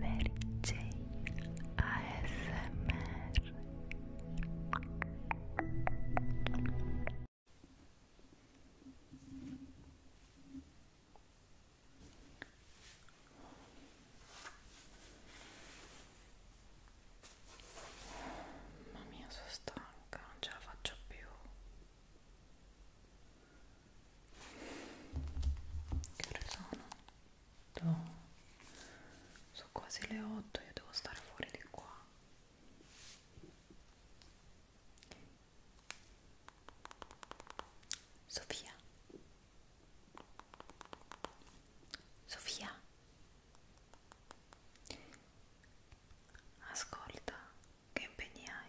Mary Jane ASMR Mamma mia sono stanca, non ce la faccio più che ore sono? No. Boh. Sono quasi le 8, io devo stare fuori di qua. Sofia. Sofia. Ascolta, che impegni hai?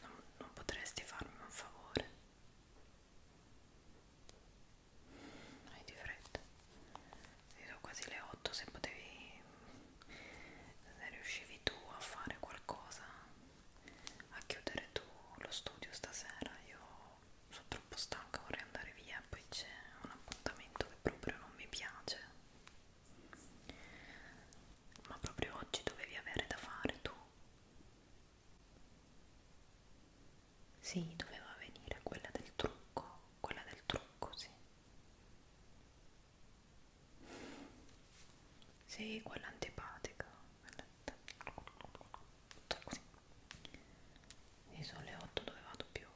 Non, non potresti farmi un favore? Non hai di fretta. Sono quasi le 8 se potevi... se riuscivi tu a fare qualcosa, a chiudere tu lo studio stasera, io sono troppo stanca, vorrei andare via, poi c'è un appuntamento che proprio non mi piace ma proprio oggi dovevi avere da fare tu sì, doveva venire quella del trucco quella del trucco, sì sì, quella antipatica sì, sono le 8 dove vado più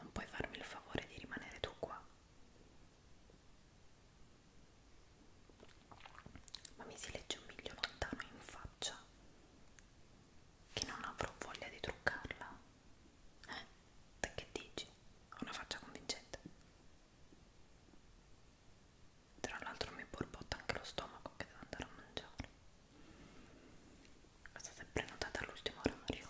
non puoi farmi il favore di rimanere tu qua. Ma mi si legge un miglio lontano in faccia che non avrò voglia di truccarla. Eh, te che dici? Ho una faccia convincente. Tra l'altro mi borbotta anche lo stomaco che devo andare a mangiare è stata prenotata all'ultimo orario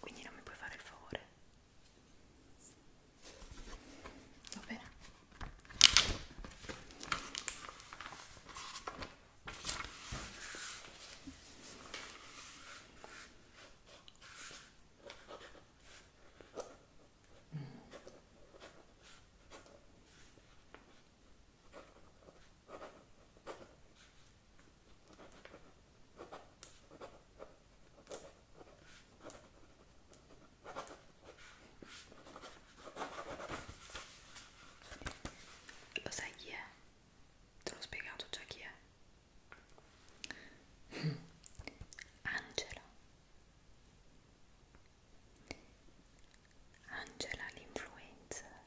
quindi non mi puoi fare il favore va bene lo sai chi è? Te l'ho spiegato già chi è? Mm. Angela Angela l'influencer,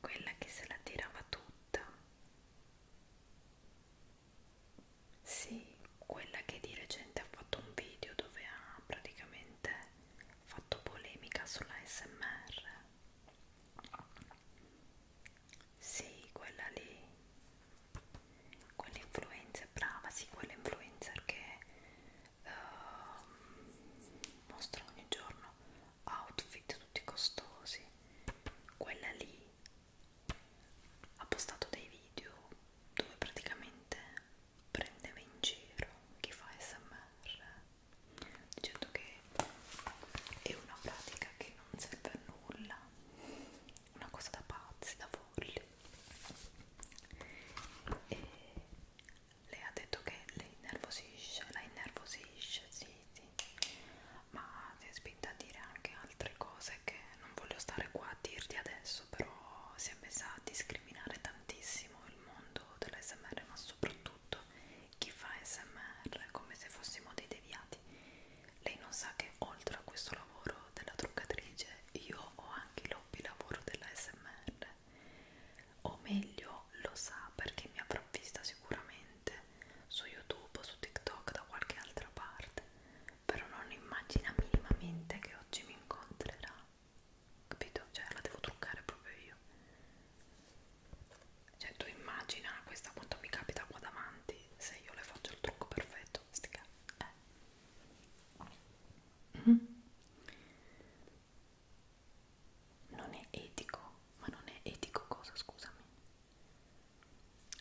quella che se la tirava tutta, sì, quella che di recente ha fatto un video dove ha praticamente fatto polemica sulla SMR. Sì, quella lì quell'influencer brava, sì, quell'influencer che uh, mostra ogni giorno outfit tutti costosi, quella lì ha postato dei video dove praticamente prendeva in giro chi fa smr dicendo che è una pratica che non serve a nulla una cosa da pazzi, da folli e lei ha detto che le innervosisce, la innervosisce, sì, sì ma si è spinta a dire anche altre cose che non voglio stare qua a dirti adesso però si è messa a discriminare tantissimo il mondo dell'SMR ma soprattutto chi fa SMR come se fossimo dei deviati lei non sa che oltre a questo lavoro della truccatrice io ho anche l'hobby lavoro della SMR o meglio lo sa perché mi avrà vista sicuramente su YouTube o su TikTok da qualche altra parte però non immagina minimamente che oggi mi incontrerà capito? cioè la devo truccare proprio io cioè tu immagina questa quanto mi capita qua davanti se io le faccio il trucco perfetto stica eh Mm? Non è etico, ma non è etico cosa, scusami.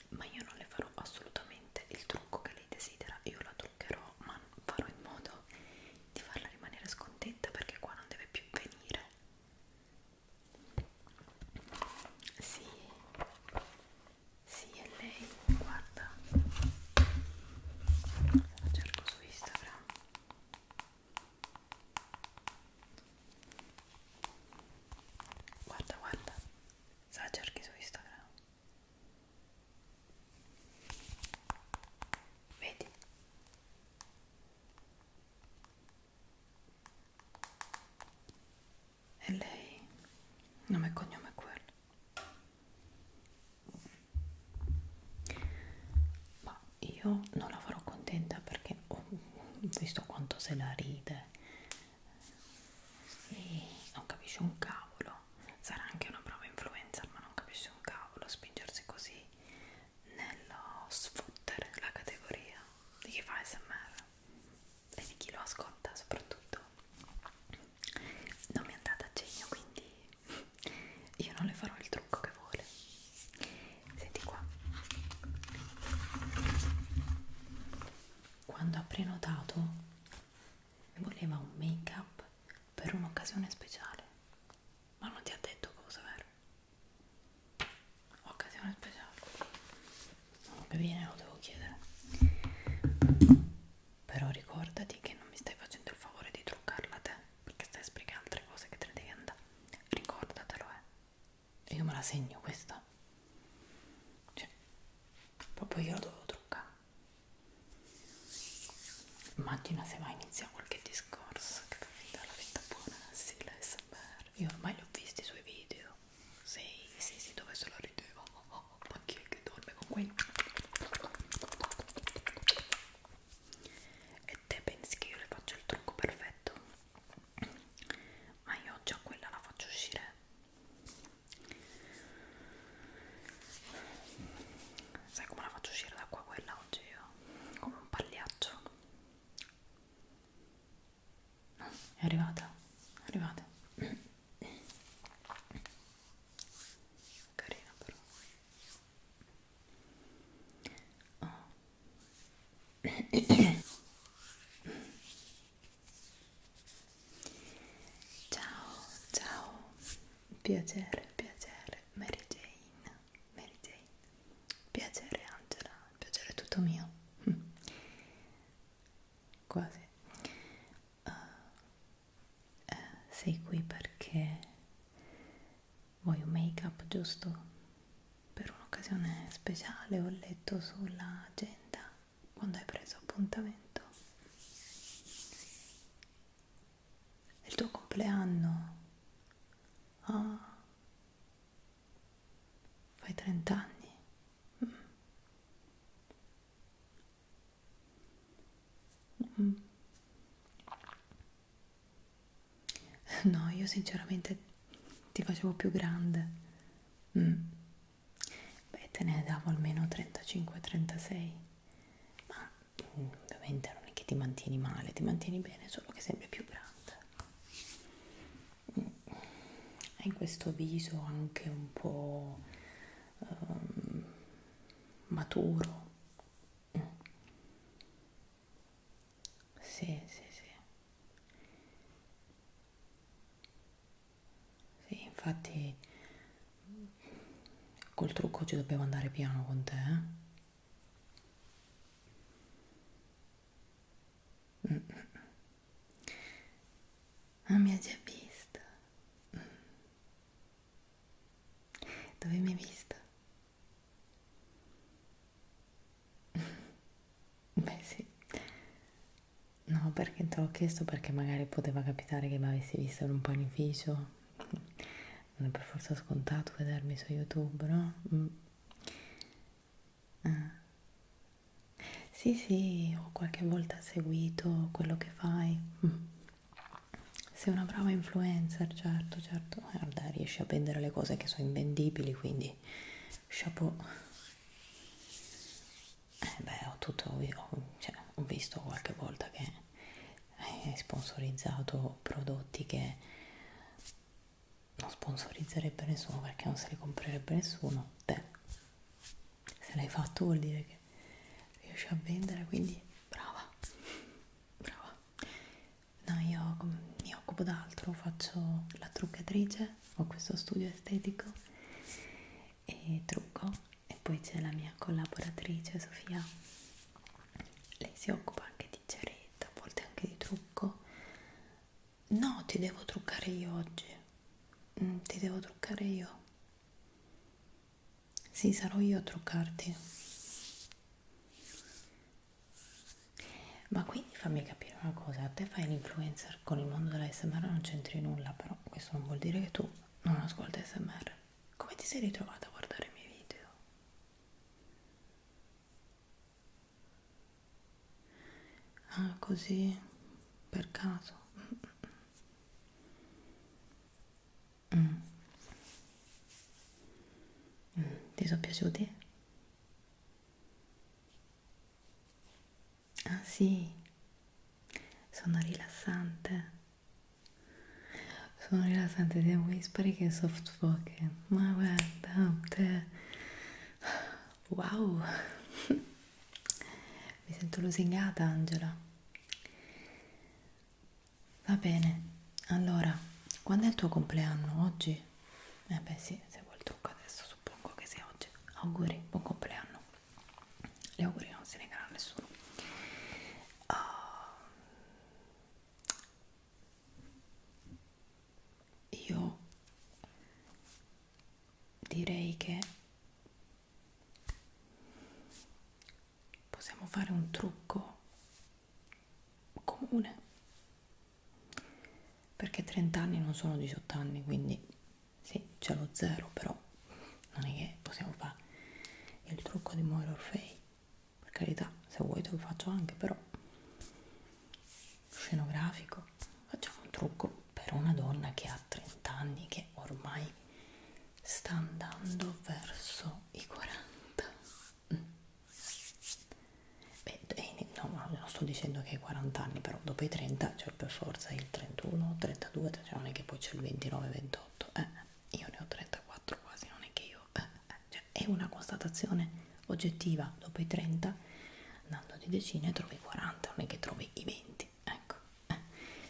Ma io non le farò assolutamente il trucco che lei desidera, io la truccherò, ma farò in modo di farla rimanere scontenta perché qua non deve più venire. Sì, sì, è lei, guarda. La cerco su Instagram. Guarda, guarda. Se la cerchi su Instagram. Vedi? E lei, nome e cognome è quello. Ma io non la farò contenta perché ho visto quanto se la ride. Sì, non capisce un cavolo. Sarà anche una prova influencer, ma non capisce un cavolo spingersi così nello sfottere la categoria di chi fa smr e di chi lo ascolta soprattutto non mi è andata a genio quindi io non le farò il trucco che vuole senti qua quando ha prenotato voleva un make up per un'occasione speciale ma non ti ha detto cosa vero occasione speciale no, che viene lo devo chiedere però ricordati che non mi stai facendo il favore di truccarla te perché stai spiegando altre cose che te ne devi andare ricordatelo eh io me la segno questa cioè proprio io la devo truccare immagina se mai inizia qualche discorso che la vita, la vita buona, sì l'ASMR io ormai li ho visti i suoi video sì, sì, sì, dove se la rideva? Oh, oh, oh, ma chi è che dorme con quei? E te pensi che io le faccio il trucco perfetto? Ma io già quella la faccio uscire. Sai come la faccio uscire da qua quella oggi io? Come un pagliaccio. No, è arrivata, è arrivata carina però oh. ciao ciao piacere piacere Mary Jane Mary Jane piacere Angela piacere tutto mio quasi uh, eh, sei qui perché vuoi un make up giusto per un'occasione speciale ho letto sulla agenda quando hai preso appuntamento è il tuo compleanno ah fai 30 anni. Mm. mm. No, io sinceramente ti facevo più grande. Mm. Beh, te ne davo almeno 35-36. Ma mm, ovviamente non è che ti mantieni male, ti mantieni bene, solo che sembri più grande hai questo viso anche un po' um, maturo. Mm. Sì, sì, sì. Sì, infatti col trucco oggi dobbiamo andare piano con te, eh? Mm. mm, mm. Ma mi ha già visto. Mm. Dove mi hai visto? Beh sì. No, perché te l'ho chiesto perché magari poteva capitare che mi avessi visto in un panificio. Non è per forza scontato vedermi su YouTube, no? Mm. Ah, sì, sì, ho qualche volta seguito quello che fai. Sei una brava influencer, certo, certo. Guarda, riesci a vendere le cose che sono invendibili, quindi chapeau. Eh beh, ho tutto, ho, cioè, ho visto qualche volta che hai sponsorizzato prodotti che non sponsorizzerebbe nessuno perché non se li comprerebbe nessuno. Te se l'hai fatto vuol dire che riesci a vendere quindi brava brava no io mi occupo d'altro faccio la truccatrice ho questo studio estetico e trucco e poi c'è la mia collaboratrice Sofia lei si occupa anche di ceretta a volte anche di trucco No, ti devo truccare io oggi. Mm, ti devo truccare io. Sì, sarò io a truccarti. Ma quindi fammi capire una cosa, a te fai l'influencer con il mondo dell'ASMR non c'entri nulla, però questo non vuol dire che tu non ascolti ASMR. Come ti sei ritrovata a guardare i miei video? Ah, così per caso. Mm. Mm. Ti sono piaciuti? Ah sì, sono rilassante. Sono rilassante sia whispering che soft spoken. Ma guarda, te. Wow! Mi sento lusingata, Angela. Va bene, allora, quando è il tuo compleanno? Oggi? Eh beh sì, se vuoi il trucco adesso suppongo che sia oggi. Auguri, buon compleanno. Gli auguri non si negano a nessuno. Uh, io direi che possiamo fare un trucco comune perché 30 anni non sono 18 anni quindi sì c'è lo zero però non è che possiamo fare il trucco di Moira Orfei per carità se vuoi te lo faccio anche però scenografico, facciamo un trucco per una donna che ha 30 anni che ormai sta andando verso i 40. Mm. Beh, eh, no, non sto dicendo che hai 40 anni, però dopo i 30 c'è cioè per forza il 31, 32, cioè non è che poi c'è il 29, 28, eh, eh, io ne ho 34 quasi, non è che io... Eh, eh, cioè è una constatazione oggettiva, dopo i 30 andando di decine trovi 40 non è che trovi i 20 ecco eh.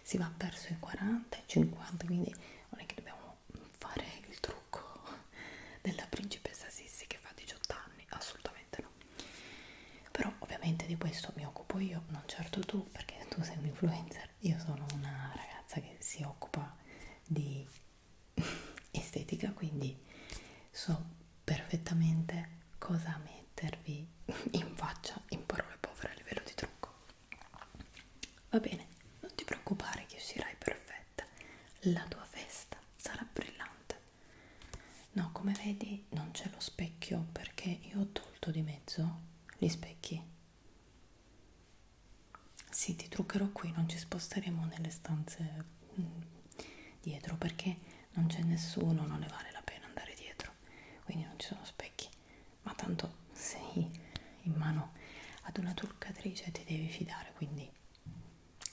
si va verso i 40 i 50 quindi non è che dobbiamo fare il trucco della principessa Sissi che fa 18 anni assolutamente no però ovviamente di questo mi occupo io non certo tu perché tu sei un influencer io sono una ragazza che si occupa di estetica quindi so perfettamente cosa mettervi in faccia in parole povere a livello di trucco. Va bene, non ti preoccupare che uscirai perfetta, la tua festa sarà brillante. No, come vedi non c'è lo specchio perché io ho tolto di mezzo gli specchi. Sì, ti truccherò qui, non ci sposteremo nelle stanze mh, mm. dietro perché non c'è nessuno, non ne vale la pena andare dietro, quindi non ci sono specchi, ma tanto sei in mano ad una truccatrice ti devi fidare, quindi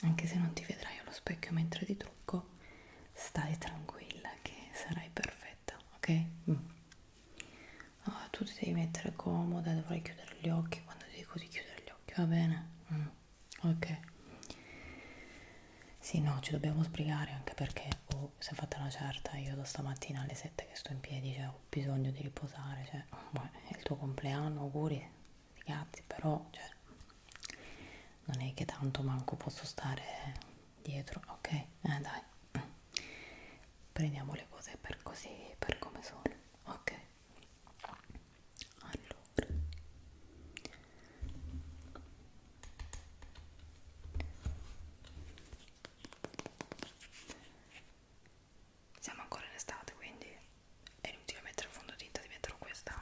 anche se non ti vedrai allo specchio mentre ti trucco, stai tranquilla che sarai perfetta, ok? Mm. Oh, tu ti devi mettere comoda, dovrai chiudere gli occhi quando ti dico di chiudere gli occhi, va bene? Mm ok sì no ci dobbiamo sbrigare anche perché oh, si è fatta una certa io da stamattina alle 7 che sto in piedi cioè ho bisogno di riposare cioè beh, è il tuo compleanno auguri ragazzi però cioè, non è che tanto manco posso stare dietro ok eh, dai prendiamo le cose per così per come sono ok allora siamo ancora in estate quindi è inutile mettere il fondotinta metterò questa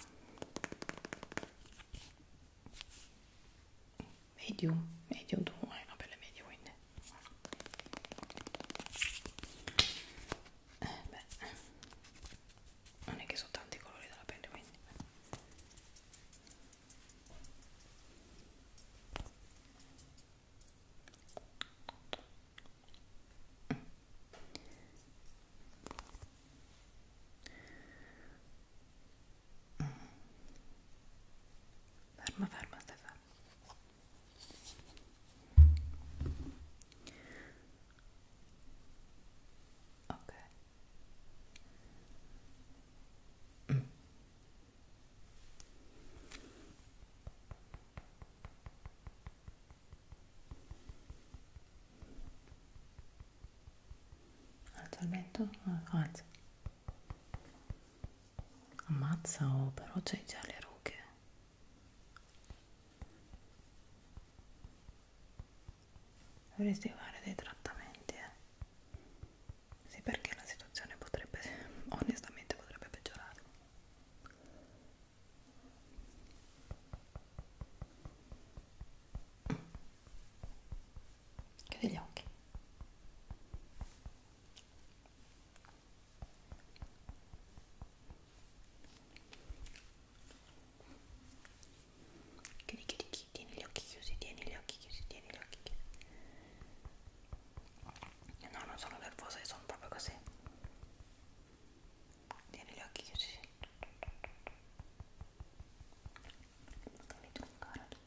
medium medium 2 è una pelle media quindi eh beh non è che sono tanti i colori della pelle quindi mm. Mm. ferma ferma stai ferma ok mm. alzo il mento? alzo ammazza oh però c'hai già le rughe dovresti fare dei trattamenti eh. sì perché la situazione potrebbe onestamente potrebbe peggiorare chiudi gli occhi Chiudi, chiudi, chiudi, tieni gli occhi chiusi, tieni gli occhi chiusi, tieni gli occhi chiusi. No, non sono nervosa, io sono proprio così. Tieni gli occhi chiusi. Devi truccare il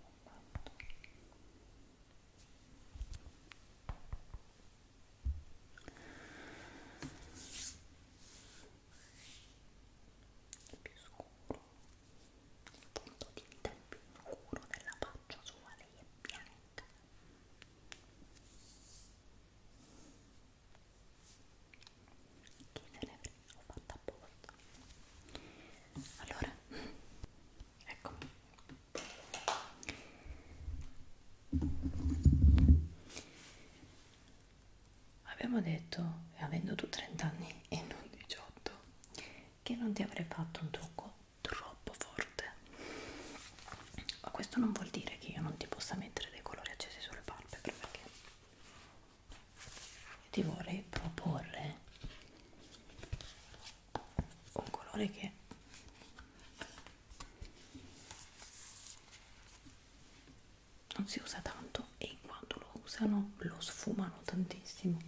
il più scuro il punto di vita è più scuro della faccia sua lei è bianca chi se ne frega ho fatto apposta allora eccomi Abbiamo detto, avendo tu 30 anni e non 18, che non ti avrei fatto un trucco troppo forte. Ma questo non vuol dire che io non ti possa mettere dei colori accesi sulle palpebre, perché io ti vorrei proporre un colore che non si usa tanto e quando lo usano lo sfumano tantissimo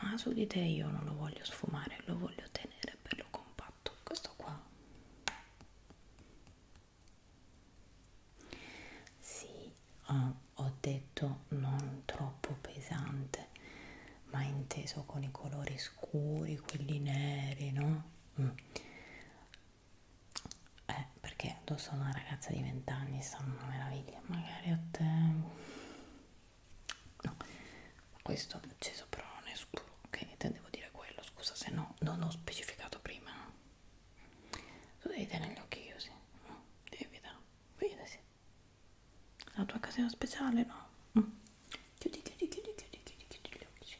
ma su di te io non lo voglio sfumare lo voglio tenere bello compatto questo qua sì oh, ho detto non troppo pesante ma inteso con i colori scuri quelli neri no mm eh, perché addosso a una ragazza di 20 anni sono una meraviglia, magari a te no, questo c'è sopra è scuro, ok, te devo dire quello, scusa se no non ho specificato prima tu devi tenere gli occhi chiusi, no? evita, vedasi la tua casina speciale, no? Mm. Chiudi, chiudi, chiudi, chiudi, chiudi, chiudi gli occhi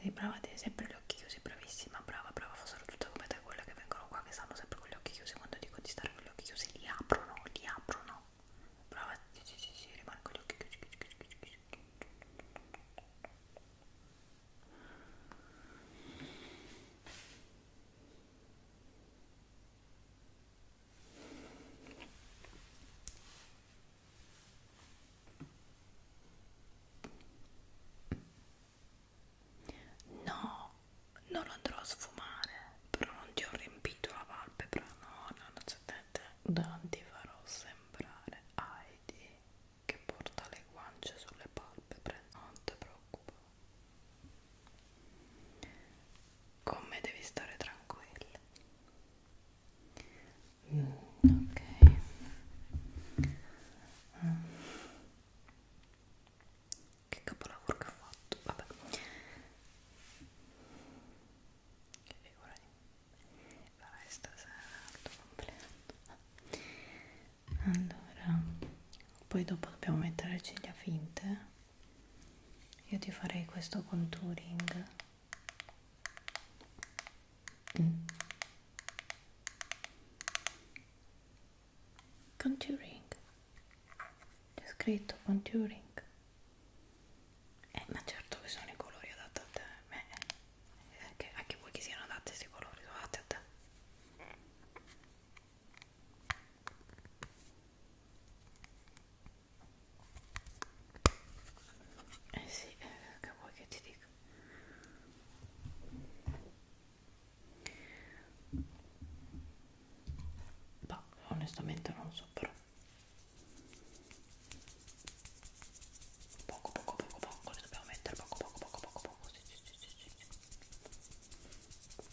Sì, prova a tenere sempre gli occhi chiusi, bravissima, brava, brava, fossero tutte come te quelle che vengono qua che stanno sempre con gli occhi chiusi, quando dico di stare con gli occhi chiusi li aprono, li aprono, brava, sì, sì, sì, sì rimane con gli occhi chiusi, chiusi, chiusi, chiusi, chiusi. No, non lo andrò a sfumare, però non ti ho riempito la palpebra, no, no, non c'è Non ti farò sembrare Heidi che porta le guance sulle palpebre, non ti preoccupare come devi stare tranquilla mm, ok mm. che capolavoro che ho fatto vabbè che figura di farai stasera il tuo compleanno allora poi dopo dobbiamo mettere le ciglia finte io ti farei questo contouring mm. contouring c'è scritto contouring eh, ma certo che sono i colori adatti a te eh, anche, anche voi che siano adatti questi colori sono adatti a te eh sì, eh, che vuoi che ti dica? Bah, onestamente non so però. Poco poco poco poco, le dobbiamo mettere poco poco poco poco poco. Sì, sì, sì, sì, sì.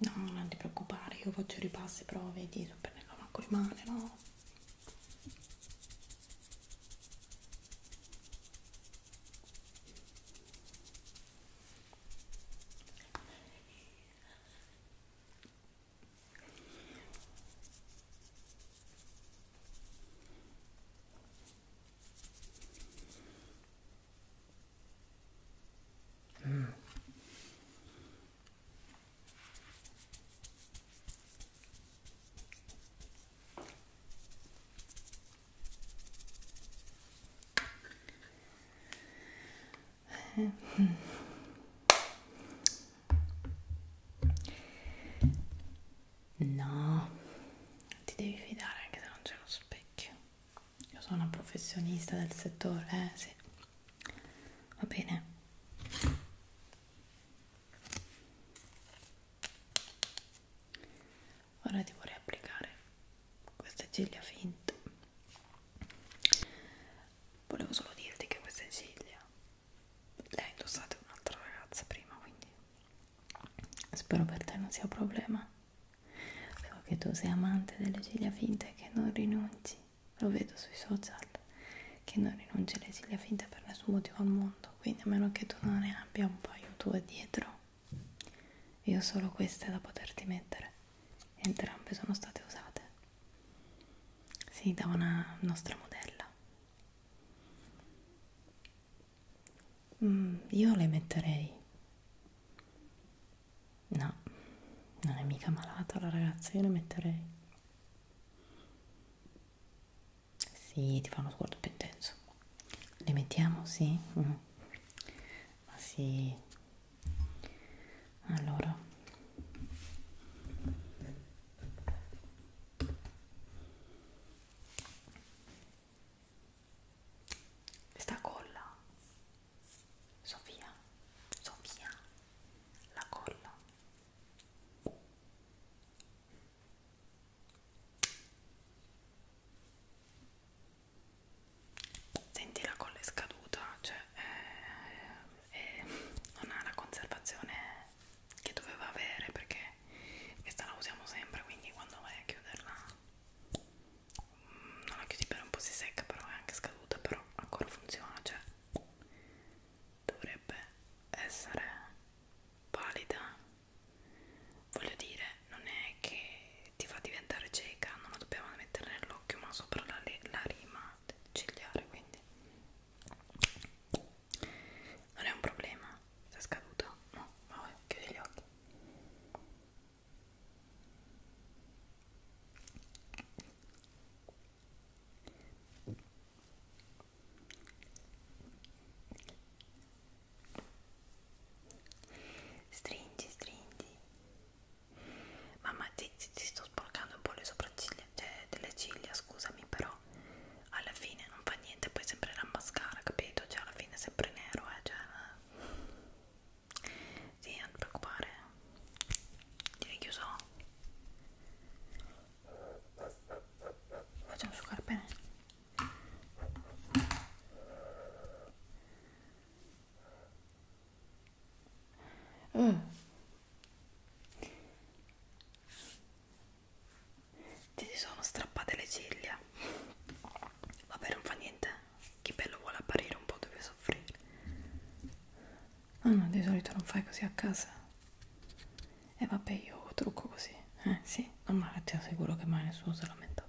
No, non ti preoccupare, io faccio ripassi, però vedi, non prenderò manco le mani, no? Mm. No, ti devi fidare anche se non c'è uno specchio. Io sono una professionista del settore, eh sì va bene ora ti vorrei applicare queste ciglia finte volevo solo dirti che queste ciglia le ha indossate un'altra ragazza prima quindi spero per te non sia un problema So che tu sei amante delle ciglia finte e che non rinunci, lo vedo sui social, che non rinunci alle ciglia finte per nessun motivo al mondo, quindi a meno che tu non ne abbia un paio tue dietro, io ho solo queste da poterti mettere, entrambe sono state usate, sì, da una nostra modella. Mm, io le metterei No, non è mica malata la ragazza, io la metterei. Sì, ti fa uno sguardo più intenso. Le mettiamo, sì? Mm. Ma sì. Allora. Sta colla Sofia, Sofia, la colla. Senti la colla è scaduta, cioè eh, eh, non ha la conservazione che doveva avere perché questa la usiamo sempre, quindi quando vai a chiuderla non la chiudi bene, un po' si secca, però è anche scaduta, però ancora funziona, cioè dovrebbe essere valida. Voglio dire, non è che ti fa diventare cieca, non la dobbiamo mettere nell'occhio, ma sopra la, la rima del cigliare, quindi non è un problema. Se è scaduto? No, vabbè, chiudi gli occhi. Stringi, stringi. Mamma, ti, ti, ti sto sporcando un po' le sopracciglia, cioè delle ciglia, scusami, però alla fine non fa niente, poi sempre la mascara, capito? Cioè alla fine è sempre nero, eh, cioè... Eh. Sì, non ti preoccupare. Direi chiuso. Facciamo asciugare bene. Mm. Ti si sono strappate le ciglia. Vabbè, non fa niente. Chi bello vuole apparire un po' deve soffrire. Ah no, di solito non fai così a casa. E eh, vabbè, io trucco così. Eh sì, non male, ti assicuro che mai nessuno si è lamentato.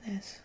Adesso.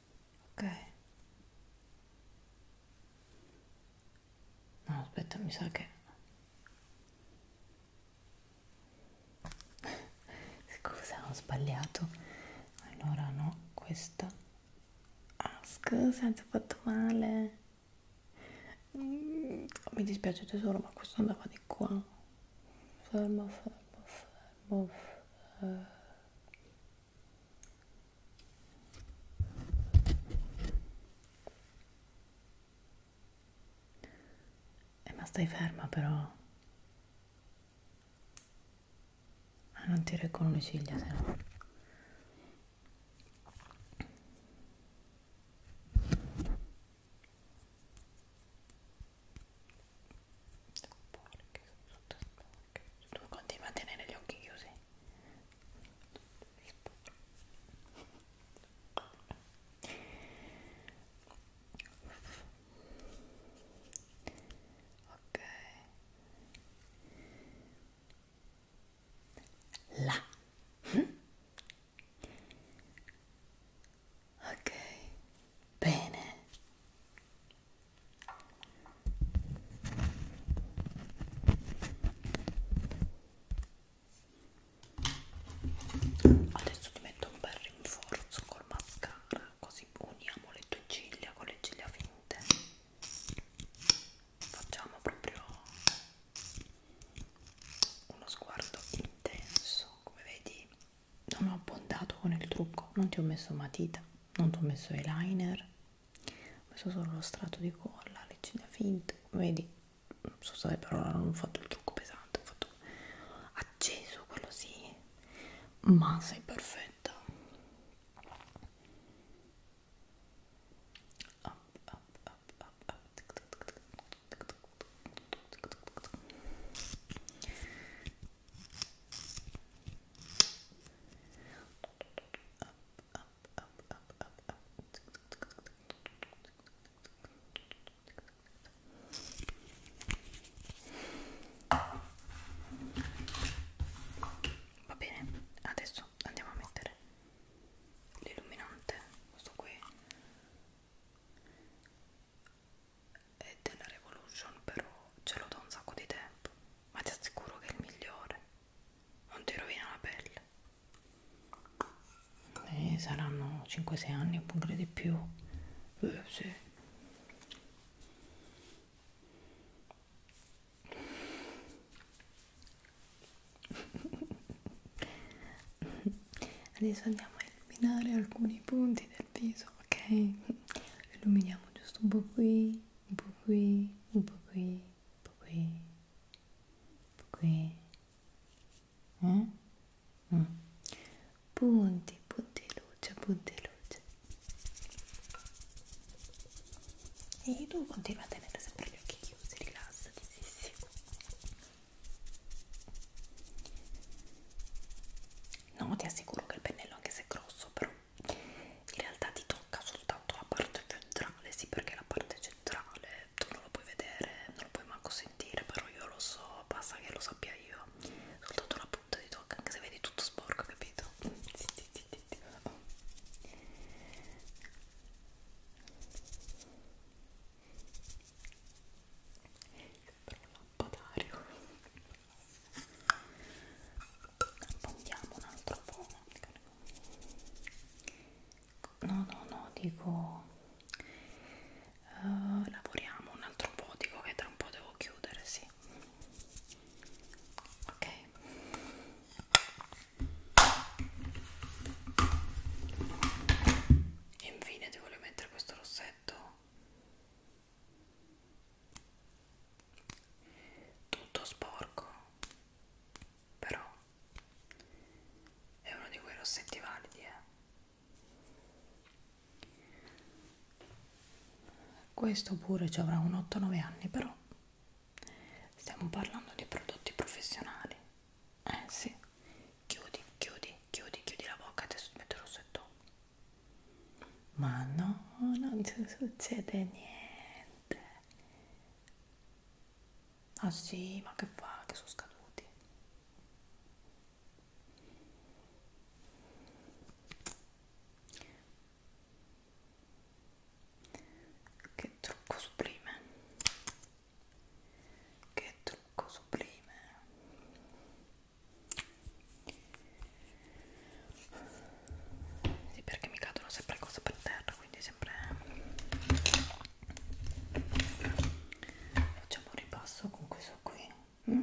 ok no aspetta mi sa che scusa ho sbagliato allora no questa ah scusa ti ho fatto male mm, mi dispiace tesoro ma questo andava di qua fermo fermo fermo of uh, eh. eh, ma stai ferma però ah, non ti reggono le ciglia se no sono porche, sono tutte sporche tu continui a tenere gli occhi chiusi ok la ok bene Adesso ti metto un bel rinforzo col mascara, così uniamo le tue ciglia con le ciglia finte. Facciamo proprio uno sguardo intenso, come vedi non ho abbondato con il trucco, non ti ho messo matita, non ti ho messo eyeliner, ho messo solo lo strato di colla, le ciglia finte, vedi, non so se per ora non ho fatto il trucco pesante, ho fatto acceso, quello sì, ma sei perfetta. Up, up, up, up, up. Va bene, adesso andiamo a mettere l'illuminante, questo qui è della Revolution però ce l'ho da un sacco di tempo ma ti assicuro che è il migliore non ti rovina la pelle eh, saranno 5-6 anni oppure di più eh, sì. adesso andiamo a eliminare alcuni punti del il viso, ok? Illuminiamo giusto un po' qui, un po' qui, un po' qui, un po' qui, un po' qui. Eh? Mm. Punti, punti luce, punti luce. E tu continua a tenere sempre gli occhi chiusi, rilassati, sì, sì. No, ti assicuro che il pennello, anche se è grosso, però in realtà ti tocca soltanto la parte centrale, sì, perché la parte centrale tu non lo puoi vedere, non lo puoi manco sentire, però io lo so, basta che lo sappia io. Soltanto la punta ti tocca, anche se vedi tutto sporco, capito? Sì, sì, sì, sì, sì. Oh. Però lampadario abbondiamo un altro po' no no no dico uh, lavoriamo un altro po' dico che tra un po' devo chiudere sì ok e infine ti voglio mettere questo rossetto tutto sporco però è uno di quei rossetti validi eh. questo pure ci avrà un 8-9 anni però stiamo parlando di prodotti professionali eh sì chiudi chiudi chiudi chiudi la bocca adesso ti metto il rossetto ma no, non ti succede niente. Ah sì, ma che fa, che sono scaduti. Che trucco sublime. Che trucco sublime. Sì, perché mi cadono sempre cose per terra, quindi sempre facciamo un ripasso con questo qui. Mm?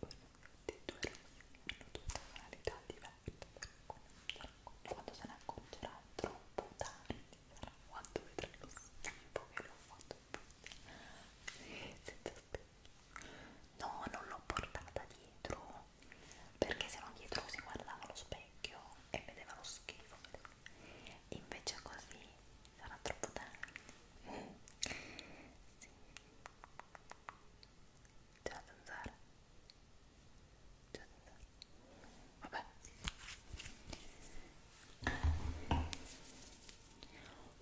Guardate, due hanno due tonalità diverse quando se ne accorgerà troppo tardi quando vedrà lo schifo che l'ho fatto senza spesa no non l'ho portata dietro perché se no dietro si guardava allo specchio e vedeva lo schifo invece così sarà troppo tardi sì. C'è la zanzara. C'è la zanzara. Vabbè.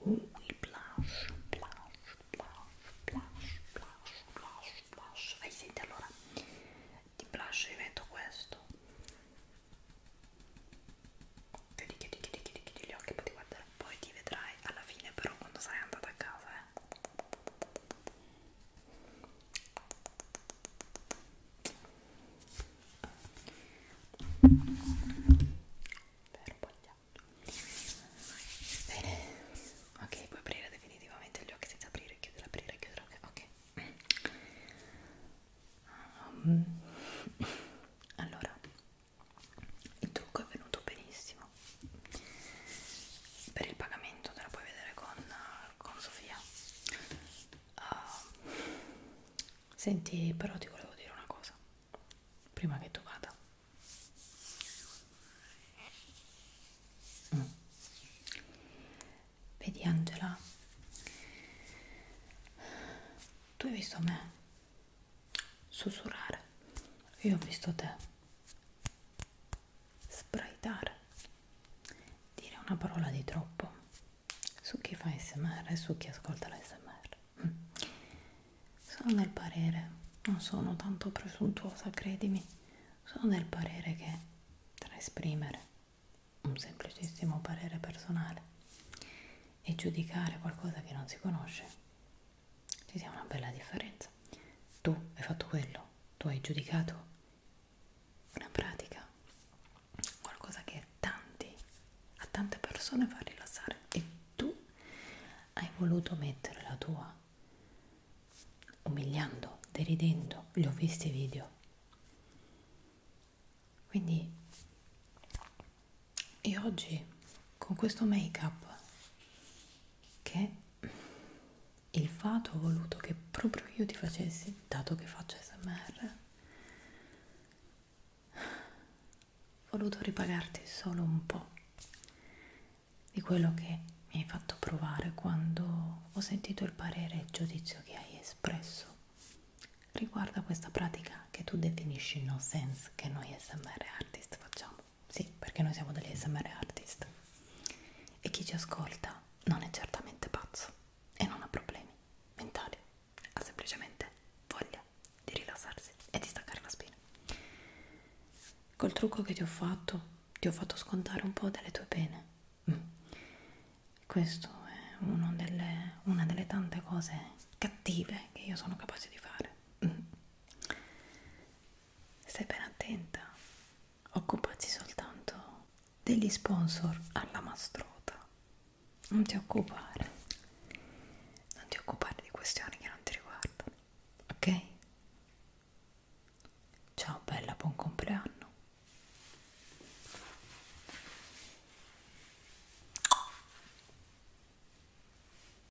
Uh, il blush, blush, blush, blush, blush, blush, blush. Vai, senti, allora di blush io metto questo. Chiudi, chiudi, chiudi, chiudi gli occhi, poi ti guardare, poi ti vedrai alla fine però quando sarai andata a casa, eh per bene ok puoi aprire definitivamente gli occhi senza aprire chiudere aprire chiudere ok um, allora il trucco è venuto benissimo per il pagamento te la puoi vedere con, con Sofia uh, senti però ti volevo dire una cosa prima che tu vada mm. vedi Angela tu hai visto me sussurrare io ho visto te Spraitare. Dire una parola di troppo su chi fa smr e su chi ascolta l'smr. Mm. Sono del parere, non sono tanto presuntuosa, credimi, sono del parere che tra esprimere un semplicissimo parere personale e giudicare qualcosa che non si conosce ci sia una bella differenza. Tu hai fatto quello, tu hai giudicato una pratica, qualcosa che tanti, a tante persone fa rilassare e tu hai voluto mettere la tua umiliando, deridendo, li ho visti i video. Quindi io oggi con questo make up che il fato ha voluto che proprio io ti facessi, dato che faccio smr, ho voluto ripagarti solo un po' di quello che mi hai fatto provare quando ho sentito il parere e il giudizio che hai espresso riguardo a questa pratica che tu definisci no sense che noi smr artist facciamo sì, perché noi siamo degli SMR artist e chi ci ascolta non è certamente pazzo e non ha problemi mentali, ha semplicemente voglia di rilassarsi e di staccare la spina. Col trucco che ti ho fatto, ti ho fatto scontare un po' delle tue pene. Mm. Questo è uno delle, una delle tante cose cattive che io sono capace di fare. Mm stai ben attenta occupati soltanto degli sponsor alla mastrota non ti occupare non ti occupare di questioni che non ti riguardano ok? ciao bella buon compleanno